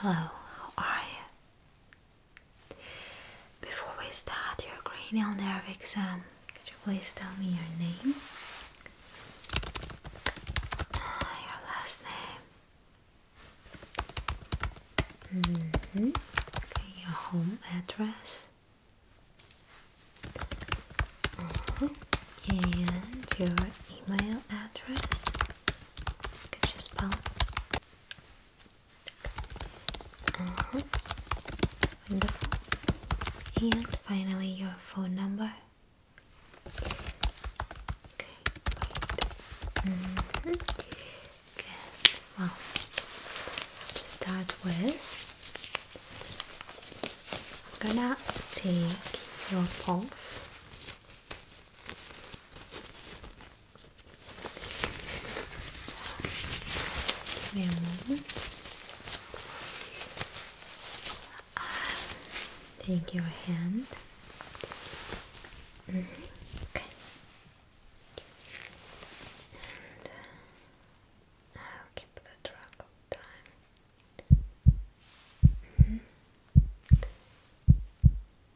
Hello, how are you? Before we start your cranial nerve exam, could you please tell me your name? Uh, your last name. Mm-hmm. your home address. Uh-huh. And your email address. Cautious palette. Uh-huh. Wonderful. And finally, your phone number. Okay, mm-hmm. Well, start with I'm gonna take your pulse. So, give take your hand. Mm-hmm. Okay. And uh, I'll keep the track of time. Mm-hmm.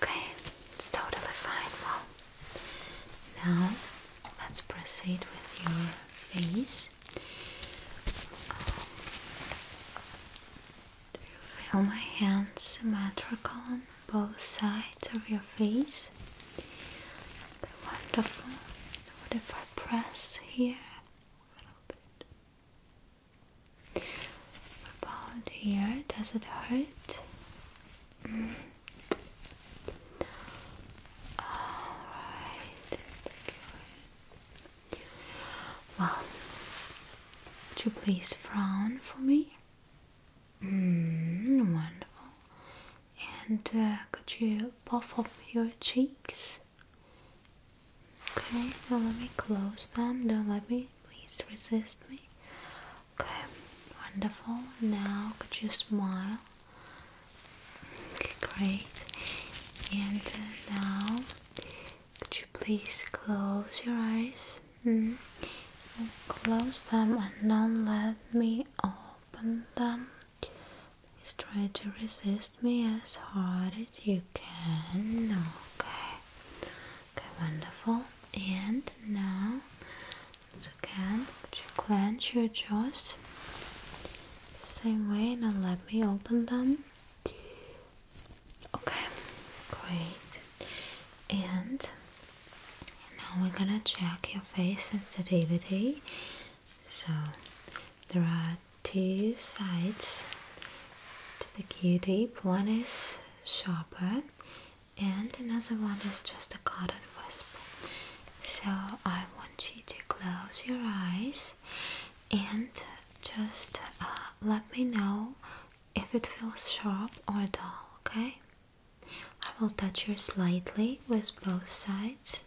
okay, it's totally fine. Well, now let's proceed with your face. Um, do you feel my hands, symmetrical on both sides of your face? wonderful. What if I press here a little bit? about here? Does it hurt? Mm. Alright, well, would you please frown for me? Mm, wonderful and uh, could you puff up your cheeks? Okay, now let me close them. Don't let me, please resist me. Okay, wonderful. Now could you smile? Okay, great. And uh, now could you please close your eyes? Hmm. Close them and don't let me open them is try to resist me as hard as you can. Okay. Okay, wonderful. And now, again, would clench your jaws? Same way, now let me open them. Okay, great. And now we're gonna check your face sensitivity. So there are two sides to the q-tip. One is sharper and another one is just a cotton wisp. So I want you to close your eyes and just uh, let me know if it feels sharp or dull, okay? I will touch you slightly with both sides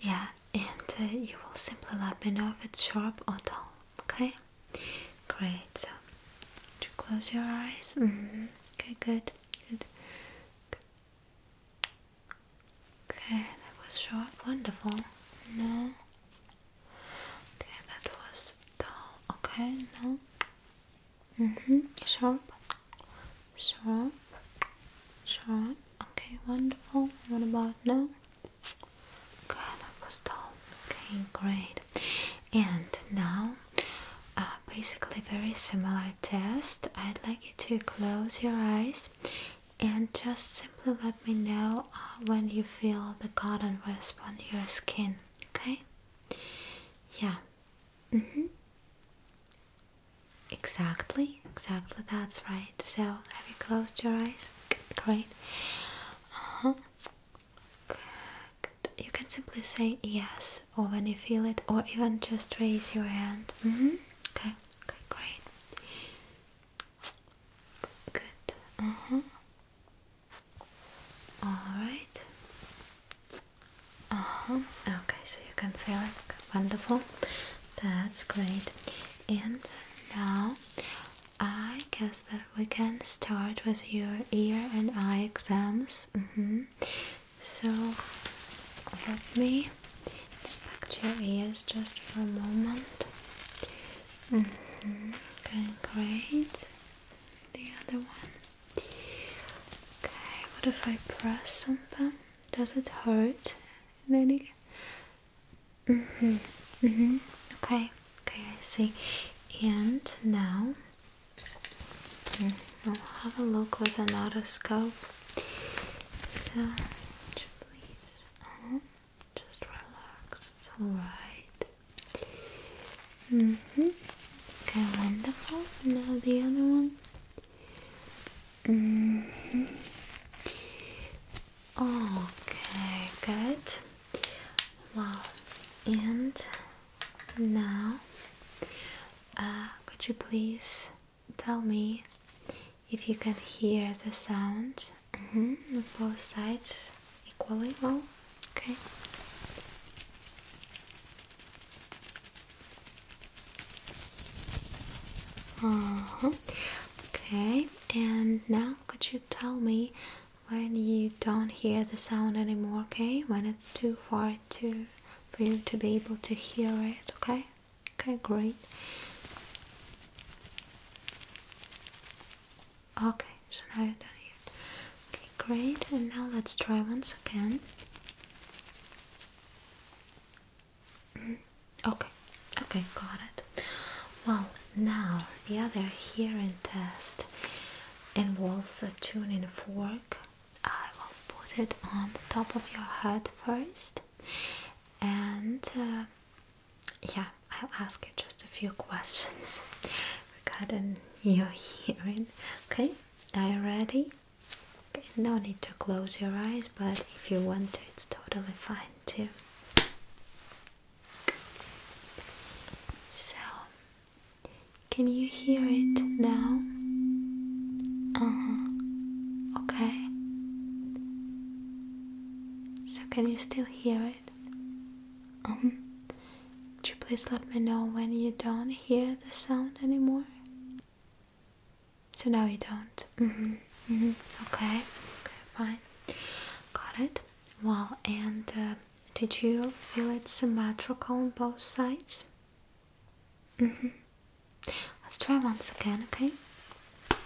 yeah and uh, you will simply let me know if it's sharp or dull okay great so to close your eyes mm-hmm. okay good good okay that was sharp wonderful no okay that was dull okay no mm-hmm sharp Sharp, sharp. Okay, wonderful. What about now? Okay, that was dull. Okay, great. And now, uh, basically, very similar test. I'd like you to close your eyes and just simply let me know uh, when you feel the cotton wisp on your skin. Okay? Yeah. Mm hmm. Exactly, exactly, that's right. So, have you closed your eyes? Great. Uh huh. Good. You can simply say yes, or when you feel it, or even just raise your hand. Mm -hmm. okay, great. Good. Uh huh. Alright. Uh huh. Okay, so you can feel it. Wonderful. That's great. And now I guess that we can start with your ear and eye exams. Mm-hmm. So let me inspect your ears just for a moment. Mm -hmm. Okay, great. The other one. Okay, what if I press on them? Does it hurt? and then again. Mm hmm. Mm mm-hmm. Okay. Okay, I see. And now have a look with an otoscope. So, please, uh -huh. just relax. It's alright. Mm hmm. Okay, wonderful. Now the other one. Mm-hmm. Okay, good. Well, and now, uh, could you please tell me if you can hear the sounds mm-hmm, both sides equally well? Okay. Uh-huh. Okay, and now could you tell me when you don't hear the sound anymore? Okay, when it's too far to for you to be able to hear it. Okay, okay, great. Okay, so now you don't hear Okay, great. And now let's try once again. Okay, okay, got it. Well, now the other hearing test involves the tuning fork. I will put it on the top of your head first, and uh, yeah, I'll ask you just a few questions regarding your hearing. Okay, are you ready? no need to close your eyes, but if you want to, it's totally fine too. So, can you hear it now? Uh huh. Okay. So, can you still hear it? Um. Uh -huh. Could you please let me know when you don't hear the sound anymore? So now you don't. Mm-hmm. Mm-hmm. Okay. Fine. Got it. Well, and uh, did you feel it symmetrical on both sides? Mm-hmm. Let's try once again. Okay. okay.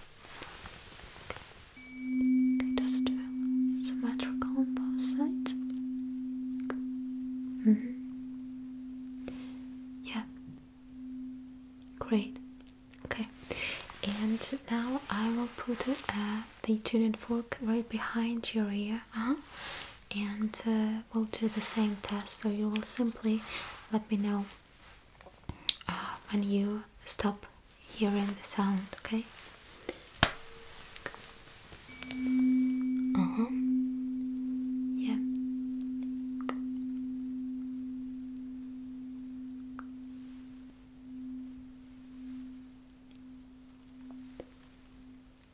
Does it feel symmetrical on both sides? Yeah. Great. Okay, and now I will put uh, the tuning fork right behind your ear, uh-huh. uh -huh. and we'll do the same test. So you will simply let me know uh, when you stop hearing the sound. Okay. Uh huh. Yeah.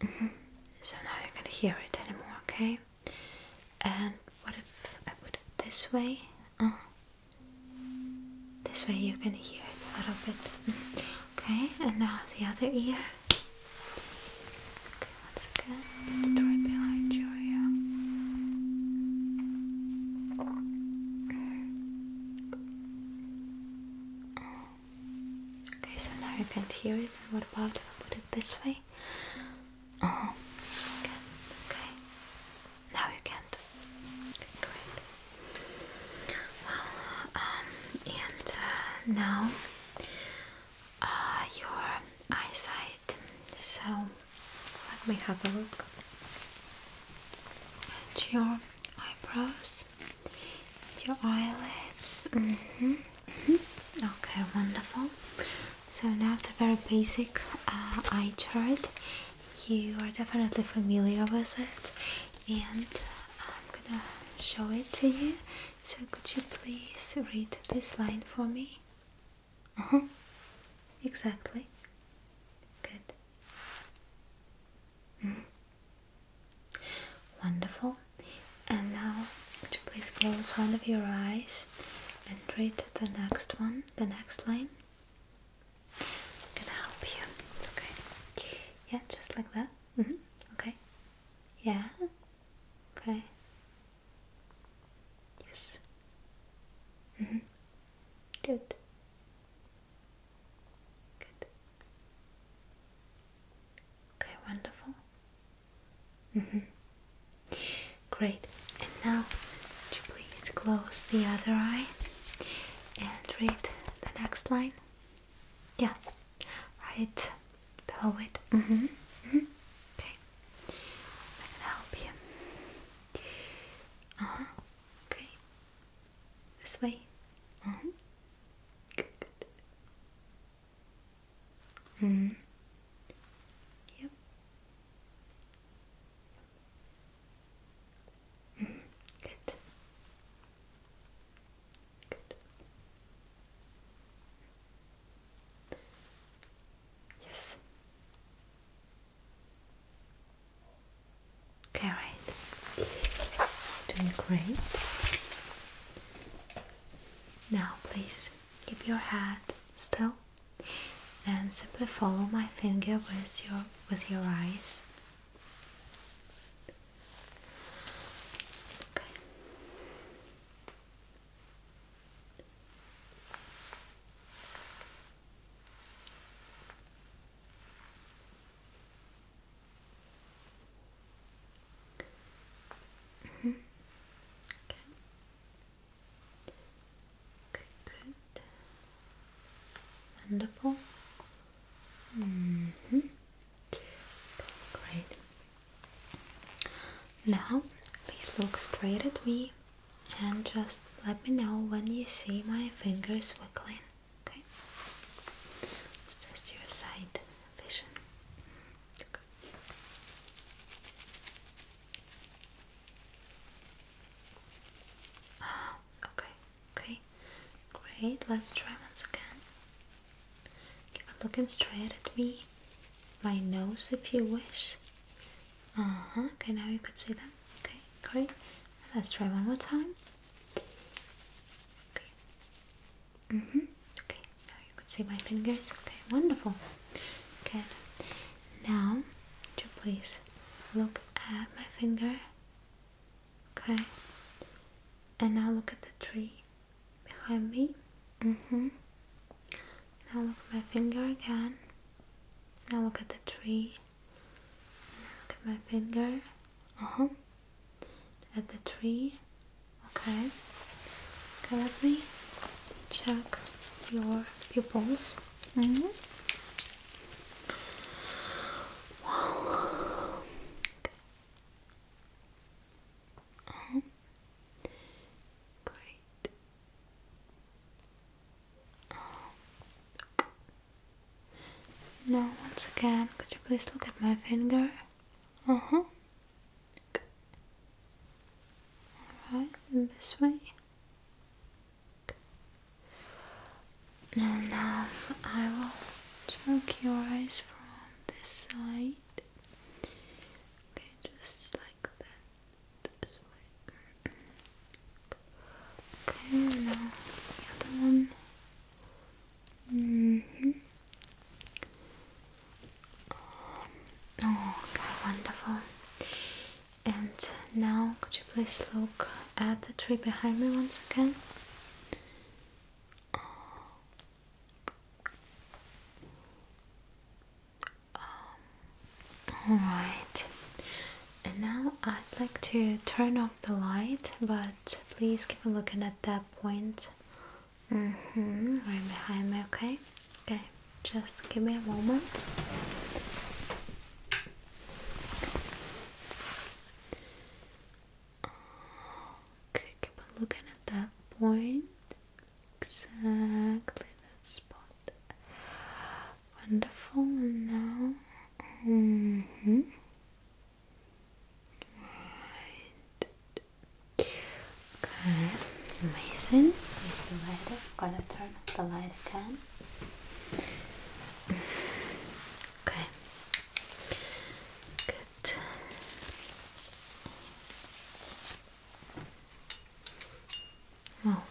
Mm-hmm. So now you can hear it anymore, okay? And what if I put it this way? Uh-huh. This way you can hear it a little bit. Mm-hmm. Okay, and now the other ear. Once again, it's right behind your ear. Okay, so now you can't hear it. What about if I put it this way? Uh Okay, okay. Now you can't. great. Well, um, and uh, now uh, your eyesight so let me have a look at your eyebrows, at your eyelids. Mm-hmm, mm-hmm. Okay, wonderful. So now it's a very basic uh, eye chart. You are definitely familiar with it, and I'm gonna show it to you. So could you please read this line for me? Uh huh. Exactly. Good. Mm-hmm. Wonderful. And now, would you please close one of your eyes and read the next one, the next line? I'm gonna help you. It's okay. Yeah, just like that. Mm -hmm. Okay. Yeah. Okay. Yes. Mm -hmm. Good. Good. Okay, wonderful. Mm -hmm. Great. And now, would you please close the other eye and read the next line? Yeah, right below it. Mm -hmm. Mm -hmm. Okay. I can help you. Uh huh. Okay. This way. Uh huh. Good. hmm. Yep. hmm. Good. Good. Mm-hmm. Mm-hmm. Yes. Okay, right. Doing great. Now, please keep your head still and simply follow my finger with your with your eyes. Okay. Mm-hmm. Okay. Good, Wonderful. Mm hmm Great. Now, please look straight at me and just let me know when you see my fingers wiggling. Okay, let's your side vision. Okay. okay, great. Let's try once again. Keep looking straight at me, my nose if you wish. Uh-huh, okay, now you could see them. Okay, great. Let's try one more time. Okay. Mm-hmm. Okay, now you could see my fingers. Okay, wonderful. Good. Now, please look at my finger? Okay. And now look at the tree behind me. Mm-hmm. Now look at my finger again. Now look at the tree. look at my finger. Uh huh. At the tree. Okay. Okay, let me check your pupils. Mm -hmm. okay. Uh-huh. Great. Now, once again, could you please look at my finger? Uh huh. Alright, this way. Now, now I will check your eyes from this side. Okay, just like that. Okay, now the other one. Oh, okay, wonderful. And now, could you please look at the tree behind me once again? Um, all right. And now I'd like to turn off the light, but please keep looking at that point. Mm hmm Right behind me, okay? Okay, just give me a moment. Okay, keep looking at that point. Exactly that spot. Wonderful. now, mm-hmm. right. Okay, amazing. Please be ready. i gonna turn the light again. Okay. Good. Well,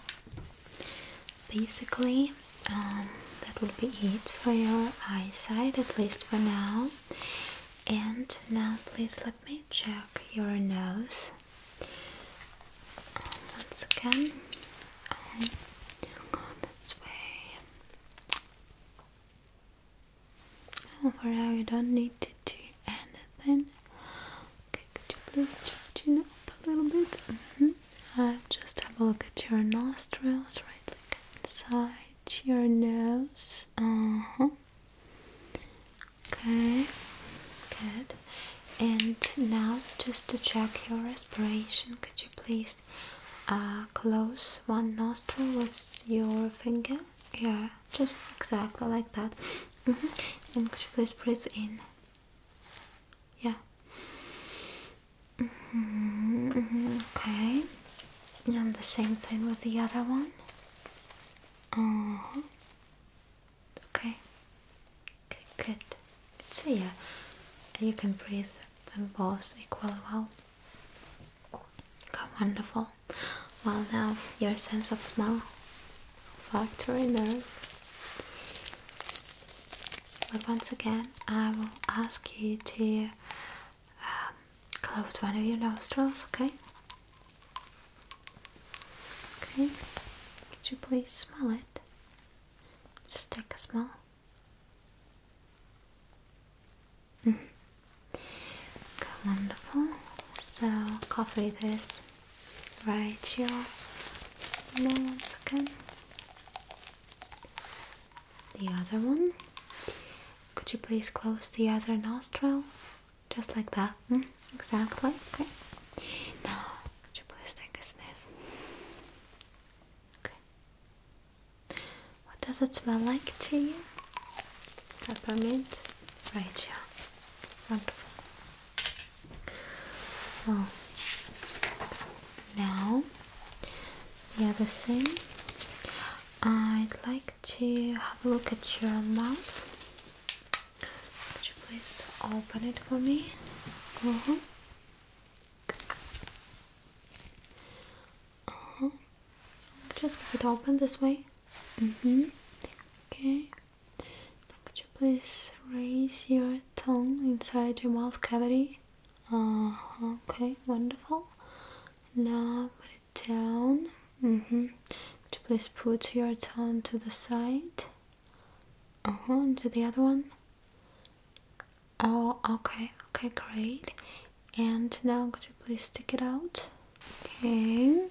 basically, um, that would be it for your eyesight, at least for now. And now, please let me check your nose um, once again. Um, this way. for now, you don't need to do anything. Okay, could you please turn your up a little bit? Mm just have a look at your nostrils, right? Like inside your nose. Uh huh. Okay, good. And now, just to check your respiration, could you please uh, close one nostril with your finger? Yeah, just exactly like that. Mm -hmm. And could you please breathe in? Yeah. Mm -hmm, okay. And the same thing with the other one. Uh -huh. Okay. Okay, good. So yeah, you can breathe them both equally well. wonderful. Well, now your sense of smell Factory nerve. But once again, I will ask you to um, close one of your nostrils, okay? Okay, could you please smell it? Just take a smell. Mm. Mm-hmm. Okay, wonderful. So, coffee it is. Right here. name once again. The other one. Could you please close the other nostril? Just like that. Hmm? exactly. Okay. Now, could you please take a sniff? Okay. What does it smell like to you? Peppermint? Right, here. Wonderful. Well, now the other thing, I'd like to have a look at your mouse. Could you please open it for me? Uh -huh. Uh -huh. Just keep it open this way. Mm-hmm. Okay could you please raise your tongue inside your mouth cavity? Uh, okay, wonderful. Now put it down. Mm-hmm. Could you please put your tongue to the side? Uh-huh, to the other one. Oh, okay, okay, great. And now could you please stick it out? Okay.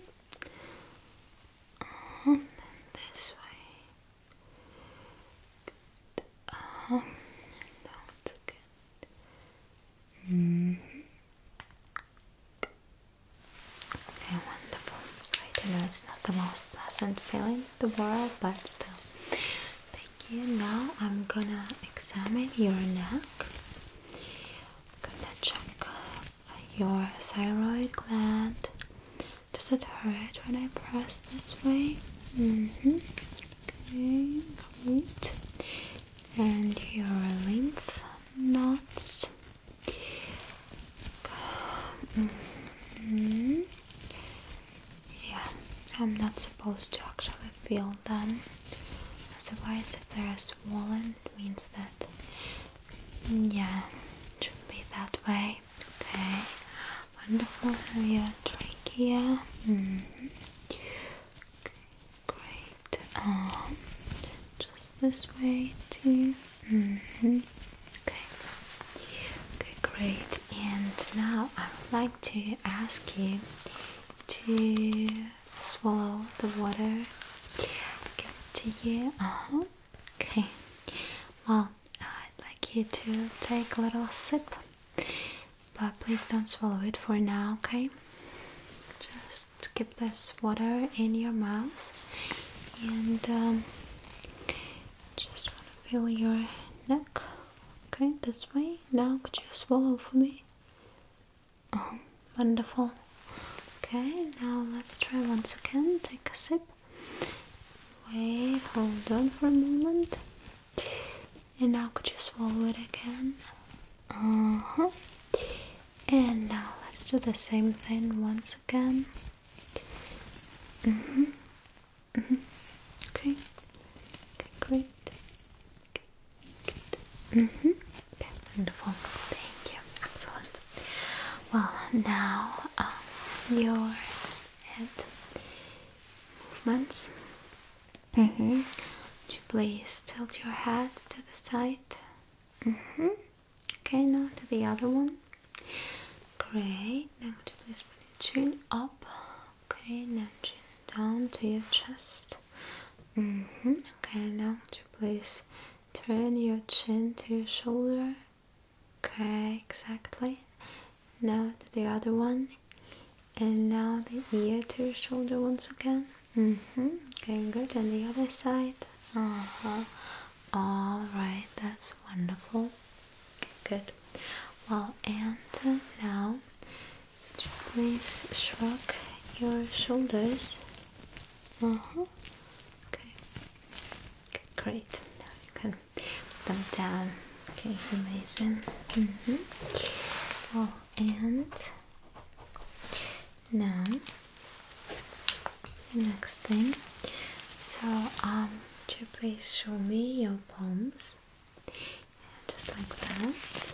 Uh-huh, this way. Mm-hmm. Okay, wonderful. I know it's not the most pleasant feeling in the world, but still. Thank you. Now I'm gonna examine your neck. I'm gonna check your thyroid gland. Does it hurt when I press this way? Mm-hmm. Okay, great. And your lymph nodes. Mm-hmm. Yeah, I'm not supposed to actually feel them. Otherwise, if they are swollen, it means that yeah, it should be that way. Okay, wonderful. Have your trachea. Mm -hmm. great. Um, just this way too. -hmm. Okay. Okay, great. And now I would like to ask you to swallow the water. Give to you. Uh huh. Okay, well, I'd like you to take a little sip, but please don't swallow it for now, okay? Just keep this water in your mouth and um, just want to feel your neck. Okay, this way. Now, could you swallow for me? Oh, wonderful. Okay, now let's try once again. Take a sip. Wait, hold on for a moment. And now could you swallow it again? Uh-huh. And now let's do the same thing once again. Mm-hmm. Mm-hmm. Okay. Okay, great. Okay. Mm-hmm. Okay, wonderful. Thank you. Excellent. Well, now your head movements. Mm-hmm. Would you please tilt your head to the side? Mm-hmm. Okay, now to the other one. Great. Now to you please put your chin up? Okay, now chin down to your chest. Mm-hmm. Okay, now to please turn your chin to your shoulder? Okay, exactly. Now to the other one. And now the ear to your shoulder once again. hmm Okay, good. And the other side. Uh-huh. Alright, that's wonderful. Okay, good. Well, and now, please shrug your shoulders? Uh-huh. Okay. okay. Great. Now you can Put them down. Okay, amazing. Mm-hmm. Oh, and now next thing. So, um, could you please show me your palms? Yeah, just like that.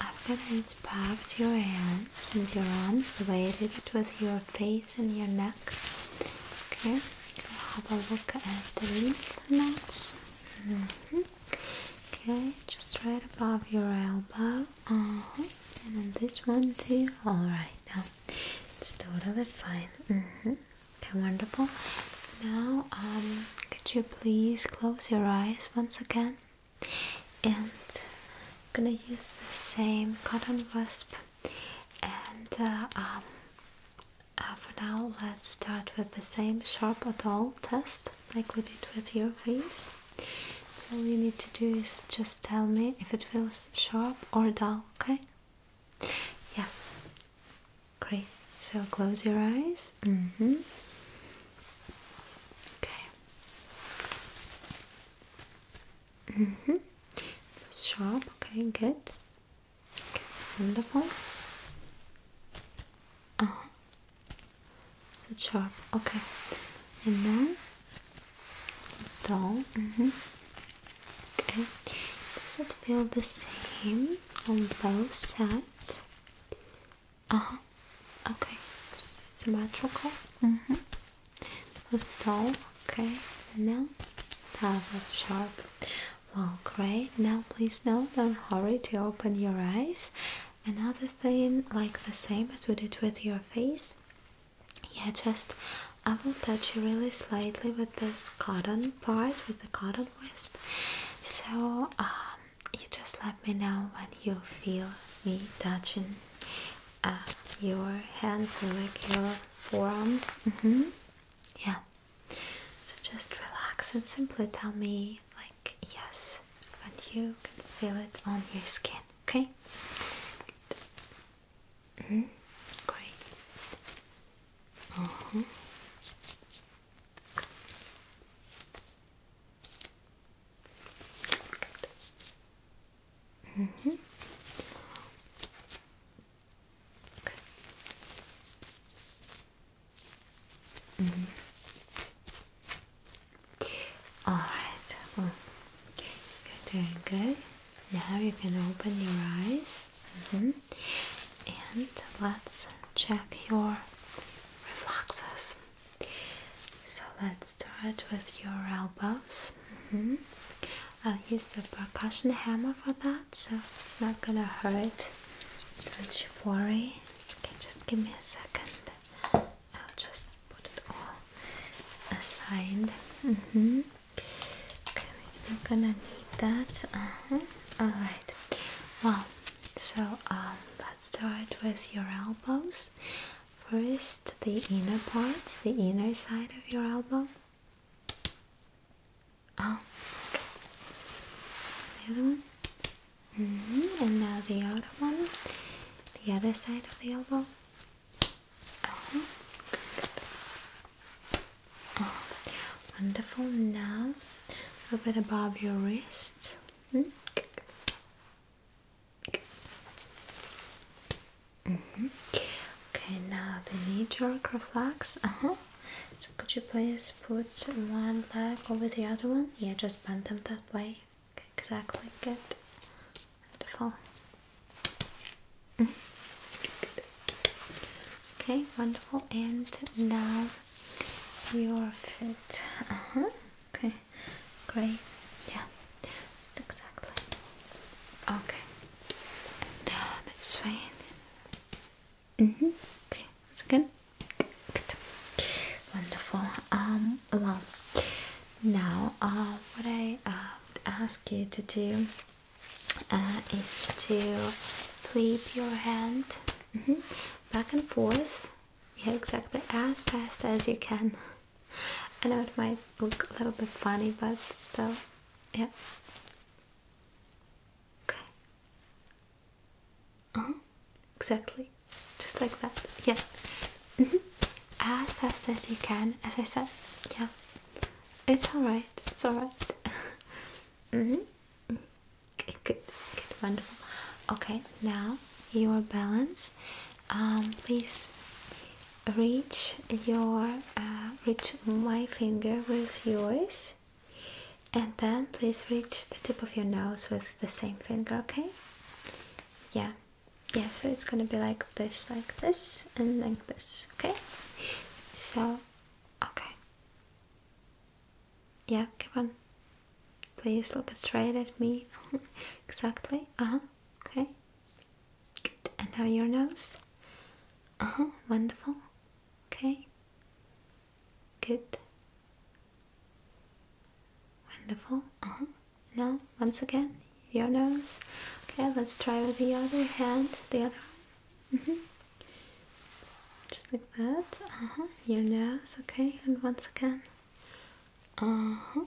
I'm gonna inspect your hands and your arms the way I did it with your your face and your neck. Okay, have a look at the lymph nodes. Mm-hmm. Okay, just right above your elbow. Uh-huh. And on this one too. All right, now it's totally fine. Mm -hmm. wonderful. Now, um, could you please close your eyes once again? And I'm gonna use the same cotton wasp and uh, um, uh, for now let's start with the same sharp or dull test like we did with your face so all you need to do is just tell me if it feels sharp or dull okay yeah great so close your eyes mm-hmm. okay Mm -hmm. Sharp, okay, good. Wonderful. Uh -huh. So sharp, okay. And then it's dull. Mm -hmm. Okay. Does it feel the same on both sides? Uh huh. Okay. it's symmetrical. Mm -hmm was tall, okay, now that was sharp. Well, great. Now, please, no, don't hurry to open your eyes. Another thing, like the same as we did with your face, yeah, just I will touch you really slightly with this cotton part, with the cotton wisp. So, um, you just let me know when you feel me touching uh, your hands or like your forearms. Mm-hmm. Yeah. So just relax and simply tell me like yes when you can feel it on your skin. Okay. Mm-hmm. Great. Uh -huh. Mm -hmm. Okay. Mm -hmm. Alright, well, you're doing good. Now you can open your eyes. Mm -hmm. And let's check your reflexes. So let's start with your elbows. Mm -hmm. I'll use the percussion hammer for that, so it's not gonna hurt. Don't you worry. Okay, just give me a second. I'll just put it all aside. Mm -hmm. Okay, we're gonna need that. Uh -huh. All right. Well, so um, let's start with your elbows. First, the inner part, the inner side of your elbow. Oh, The other one. Mm-hmm, and now the other one. The other side of the elbow. Oh, uh-huh. good. Oh, wonderful. Now, a little bit above your wrist. Hmm? Mm-hmm. Okay, now the knee jerk reflex. Uh-huh. So could you please put one leg over the other one? Yeah, just bend them that way. exactly. Good. Wonderful. Mm-hmm. Okay, wonderful. And now your feet. Uh-huh. Okay, great. Yeah, exactly. Okay, and uh, mm-hmm. Okay, that's good. Wonderful. Um, well, now uh, what I uh, ask you to do uh, is to flip your hand mm-hmm. back and forth. Yeah, exactly as fast as you can. I know it might look a little bit funny, but still, yeah, Okay. Uh huh. Exactly. Just like that. Yeah. Mm -hmm. As fast as you can, as I said. Yeah. It's alright. It's alright. mm -hmm. good, good, wonderful. Okay, now your balance. Um, please reach your uh, reach my finger with yours and then please reach the tip of your nose with the same finger okay yeah yeah so it's gonna be like this like this and like this okay so okay yeah come on please look straight at me exactly uh-huh okay and now your nose uh huh, wonderful. Okay. Good. Wonderful. Uh huh. Now, once again, your nose. Okay, let's try with the other hand. The other arm. Mm Just like that. Uh huh. Your nose. Okay, and once again. Uh huh.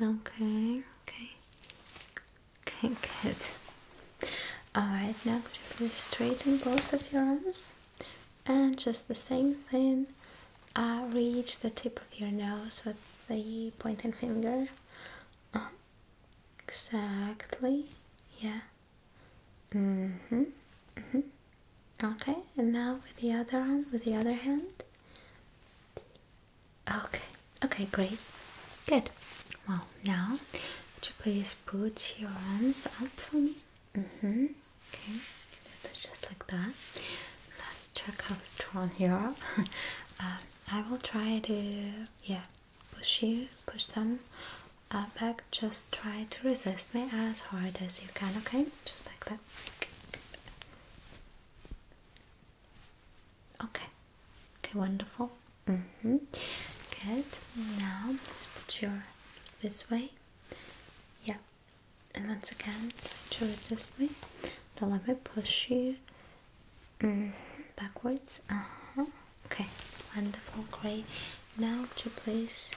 Okay, okay. Okay, good. Alright, now could please straighten both of your arms? And just the same thing, uh, reach the tip of your nose with the pointed finger. Exactly, yeah. hmm. hmm. Okay, and now with the other arm, with the other hand. Okay, Okay, great. Good. Well, now, would you please put your arms up for me? Mm hmm. Okay, just like that. Let's check how strong you are. Uh, I will try to, yeah, push you, push them uh, back. Just try to resist me as hard as you can, okay? Just like that. Okay. Okay, wonderful. Mm -hmm. Good. Now let's put your arms this way. Yeah. And once again, try to resist me. Don't let me push you mm backwards. Uh huh. Okay. Wonderful. Great. Now to place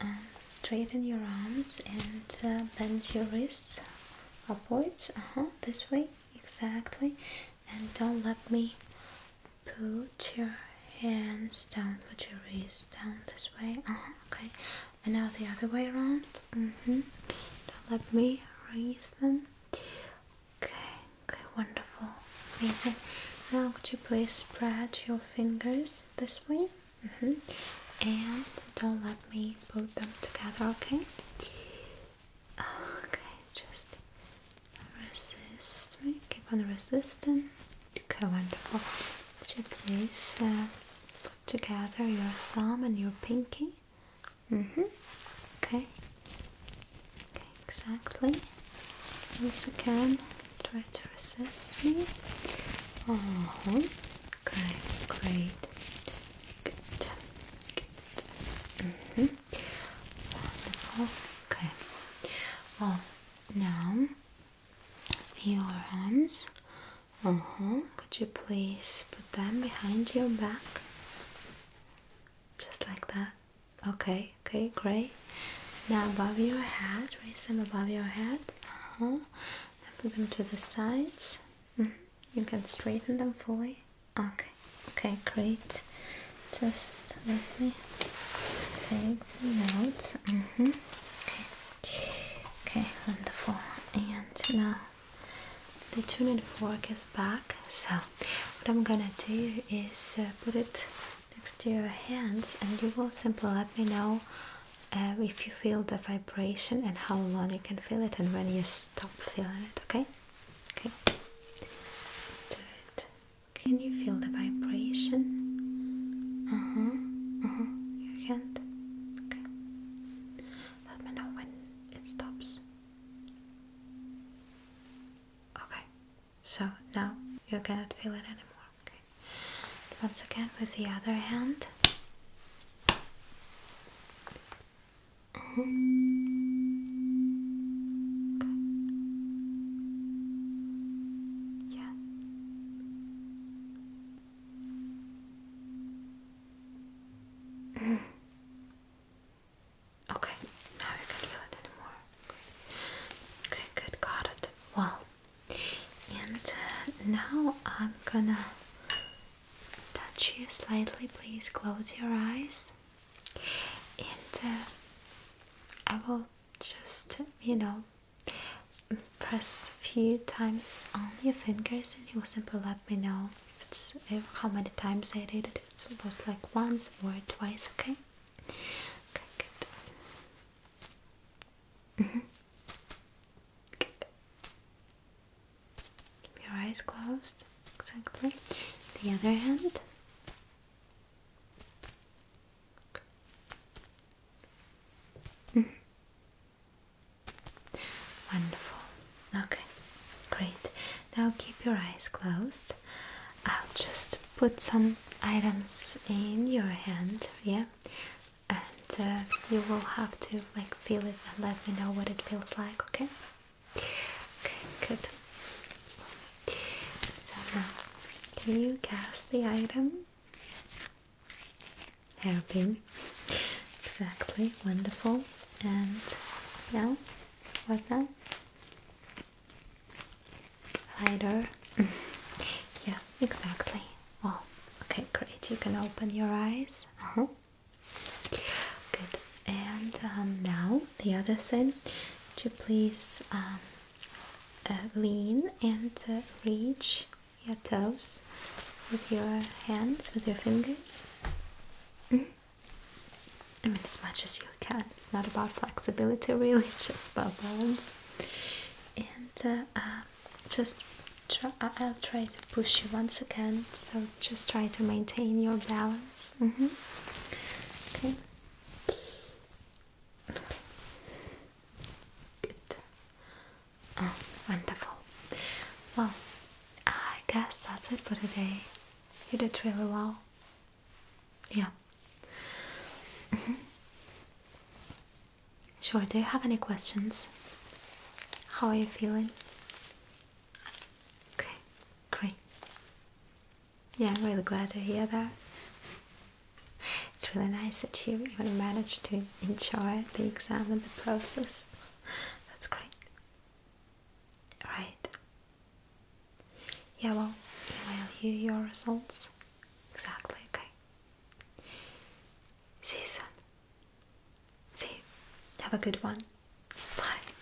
um, straighten your arms and uh, bend your wrists upwards. Uh huh. This way exactly and don't let me put your hands down put your wrists down this way uh-huh, okay and now the other way around mm-hmm. don't let me raise them okay okay wonderful amazing now could you please spread your fingers this way mm-hmm. and don't let me put them together okay Okay, just resist me, keep on resisting. Okay, wonderful. Would please uh, put together your thumb and your pinky? Mm-hmm. Okay. Okay, exactly. Once again, try to resist me. Oh, okay, great. Good. Good. Mm-hmm. Okay. Well, now your arms. Uh huh. Could you please put them behind your back? Just like that. Okay. Okay. Great. Now above your head. Raise them above your head. Uh huh. put them to the sides. Mm -hmm. You can straighten them fully. Okay, okay, great. Just let me take the notes. Mm-hmm. Okay, okay, wonderful. And now the tuning fork is back. So what I'm gonna do is uh, put it next to your hands, and you will simply let me know. Uh, if you feel the vibration and how long you can feel it and when you stop feeling it okay Okay, let's do it. Can you feel the vibration? Uh huh, uh huh, your hand. Okay, let me know when it stops. Okay, so now you cannot feel it anymore. Okay, once again with the other hand. Uh Yeah. Okay, now you can feel it anymore. Okay, good, got it. Well, and uh, now I'm gonna touch you slightly. Please close your eyes and uh, I will just you know press a few times on your fingers and you'll simply let me know if it's how many times I did it it was like once or twice okay okay good keep mm-hmm. your eyes closed exactly the other hand Mm-hmm. Wonderful. Okay, great. Now keep your eyes closed. I'll just put some items in your hand, yeah? And uh, you will have to like feel it and let me know what it feels like, okay? Okay, good. So now, can you guess the item? Hairpin. Exactly, wonderful. And now, what now? Lighter. yeah, exactly. Well, okay, great. You can open your eyes. Uh huh. Good. And um, now the other side to please um, lean and reach your toes with your hands, with your fingers. Mm-hmm. I mean, as much as you can. It's not about flexibility, really, it's just about balance. And uh, um, just I'll try to push you once again, so just try to maintain your balance. Mm-hmm. Okay, Good. Oh, wonderful. Well, I guess that's it for today. You did really well. Yeah. Mm-hmm. Sure, do you have any questions? How are you feeling? Okay, great. Yeah, I'm really glad to hear that. It's really nice that you even managed to enjoy the exam and the process. That's great. Right. Yeah, well, email you your results. Exactly, okay. See you soon. See you. Have a good one. Bye.